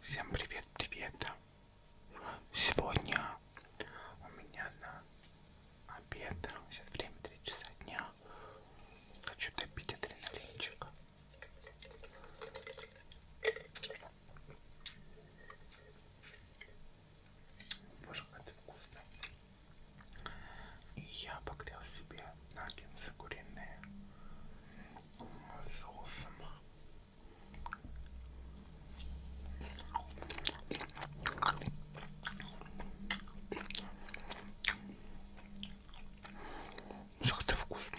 Всем привет, привет! Сегодня у меня на обед, сейчас время 3 часа дня, хочу допить адреналинчик. Боже, как это вкусно. И я погрел себе наггетсы куриные с соусом. Что это вкусно.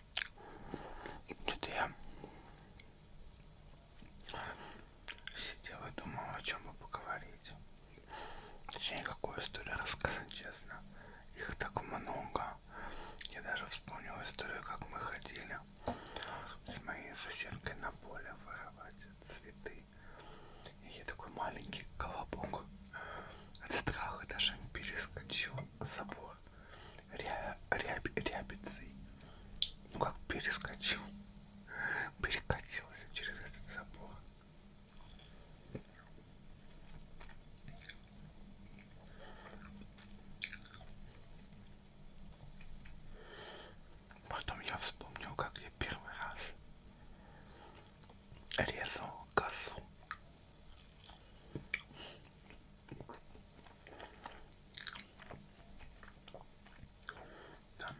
Что-то я сидела и думала, о чем бы поговорить. Точнее, какую историю рассказать, честно. Их так много. Я даже вспомнила историю, как мы ходили с моей соседкой на поле воровать цветы. И я такой маленький колобок от страха даже перескочил забор его ря ря рябицей. Ну как перескочил. Перекатился через этот забор. Потом я вспомнил, как я первый раз резал косу. Там.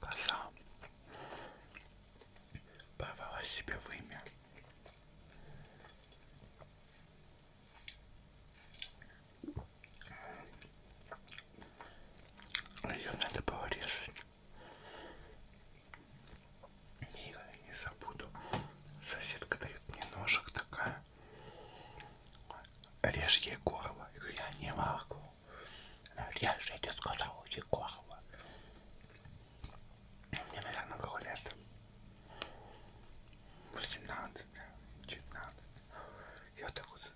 Коза повела себе вымя. Ее надо порезать. Никогда не забуду. Соседка дает мне ножик такая. Режь ей горло. Я говорю, я не могу. Я же тебе сказал, ей горло. Мне, наверное, было лет 18, 19. Я так вот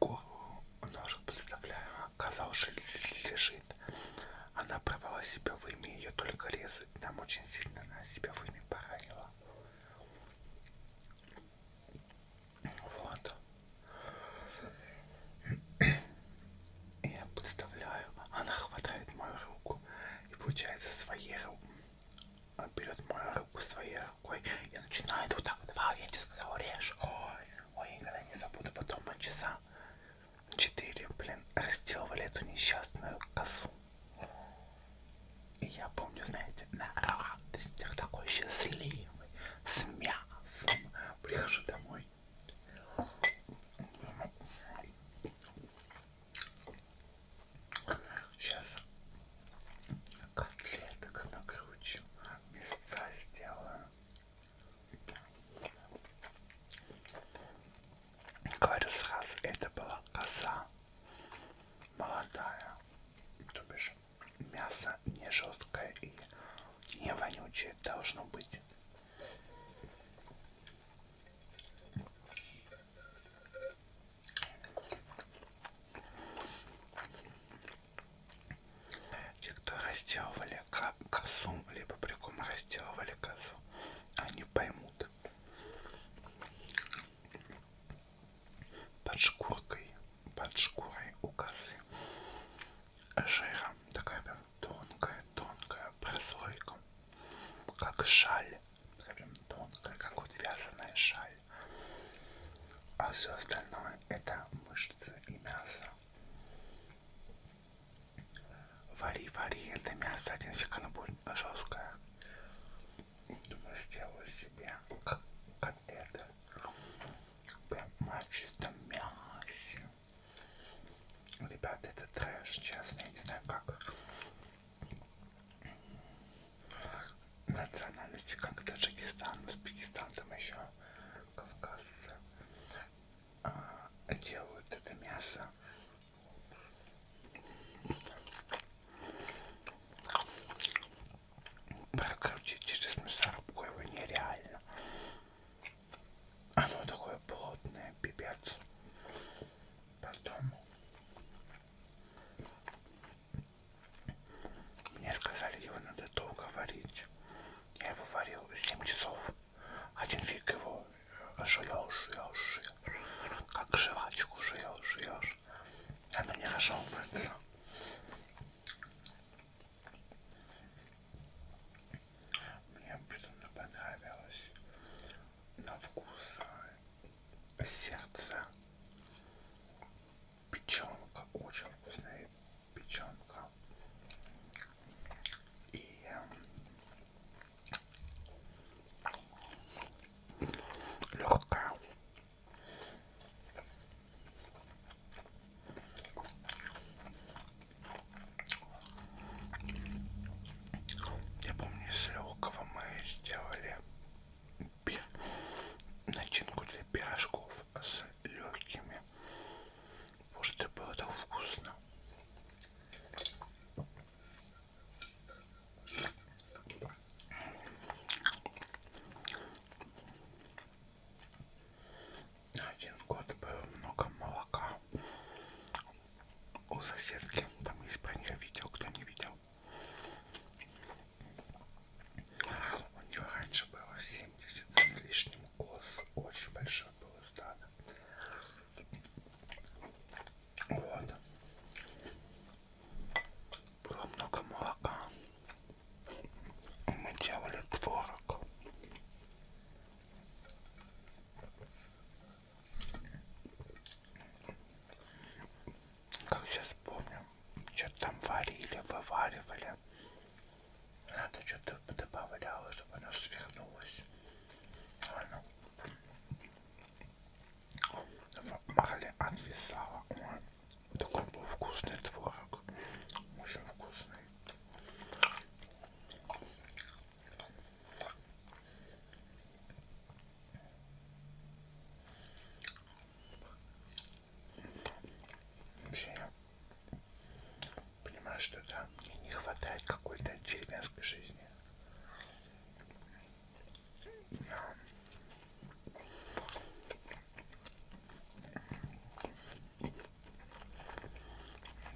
голову ножу представляю, коза уже лежит. Она провала себя в имя, ее только резать. Нам очень сильно она себя в имя поранила. Вот. Я представляю, она хватает мою руку и получается своей рукой берет мою руку своей Ой, и начинает вот так. Два, я тебе сказала, режь. Ой, ой, я никогда не забуду. Потом мы часа четыре, блин, разделывали эту несчастную косу. И я помню, знаете, на радостях такой счастливый, с мясом. Прихожу домой. Сейчас котлеток накручу, места сделаю. Говорю сразу, это была коза молодая, то бишь мясо не жесткое и не вонючее должно быть. Те, кто разделывали косу, либо приком разделывали косу, они поймут. Под шкуркой, под шкурой у косы жира такая прям тонкая-тонкая прослойка, как шаль прям тонкая, как вот вязаная шаль. А все остальное это мышцы и мясо. Вари, вари, это мясо, один фиг оно будет жесткое. Думаю, сделаю себе котлеты. Прям на чистом мясе. Ребята, это трэш, честно, я не знаю, как национальности, как Таджикистан, Узбекистан, там еще кавказцы а, делают это мясо. Прокрутить через мясорубку его нереально. Оно такое плотное, пипец. Потом мне сказали, его надо долго варить. Я его варил 7 часов. Один фиг его жуешь, жуешь, жуешь. Как жвачку жуешь, жуешь. Оно не разжевывается. Мне безумно понравилось. На вкус сердце. Печенка, очень вкусная печенка. И эм, легкая. Я помню, из легкого мы сделали начинку для пирожков с легкими. Может, это было так вкусно. На один год было много молока у соседки. Там есть про нее видео, кто не видел. У нее раньше было 70 с лишним коз. Очень большое было стадо. Вот. Было много молока. Мы делали творог. Как сейчас помню, что-то там варили, вываривали. Надо что-то добавляло, чтобы оно свихнулось. Оно а, ну. в мале отвисало. Ой, такой был вкусный творог. Очень вкусный. Вообще, я понимаю, что да, мне не хватает какой-то деревенской жизни. Но...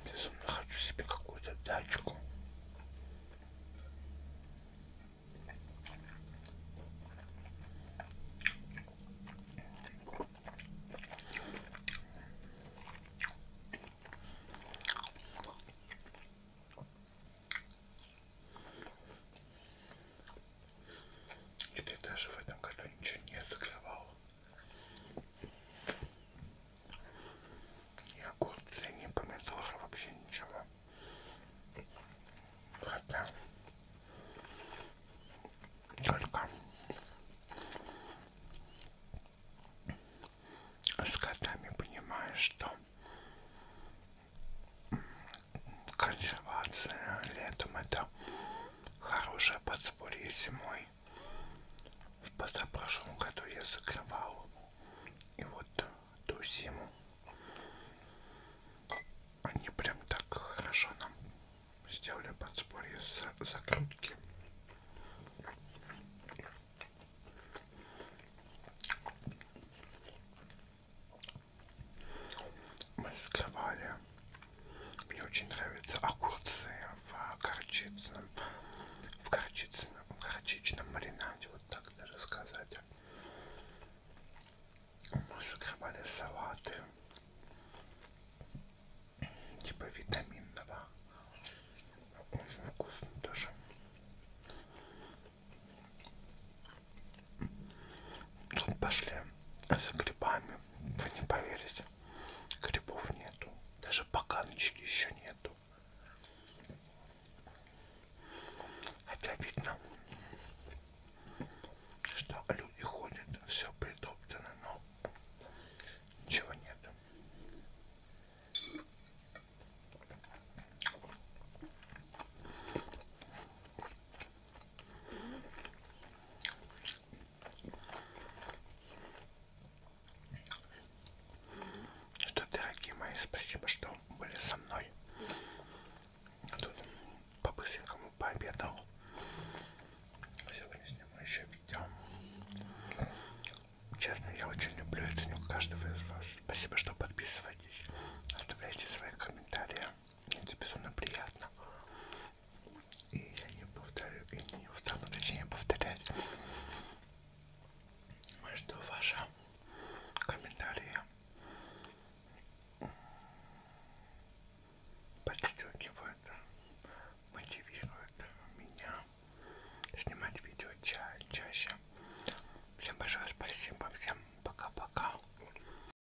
Безумно хочу себе какую-то дачку. Или даже в этом году ничего не закрывал. И огурцы, не помидоры, вообще ничего. Хотя только с котами понимаешь, что консервация летом это хорошая подспорье зимой в позапрошлом году я закрывал и вот ту зиму они прям так хорошо нам сделали подспорье с закрутки мы скрывали мне очень нравятся огурцы в горчицном, в горчицном, в горчичном маринаде, вот так даже сказать. Мы закрывали салаты, типа витаминного. Очень вкусно тоже. Тут пошли за грибами, вы не поверите. Грибов нету. Даже поганочки еще нету. Хотя видно, что люди ходят, все притоптано, но ничего нет. Что, дорогие мои, спасибо, что были со мной. Тут по-быстренькому пообедал. Сегодня сниму еще видео. Честно, я очень люблю и ценю каждого из вас. Спасибо, что подписываетесь. Оставляйте свои комментарии. Это безумно приятно. И я не повторю, и не устану, точнее, повторять, что ваши комментарии подстегивают, мотивируют меня снимать видео ча чаще. Всем большое спасибо, всем пока-пока.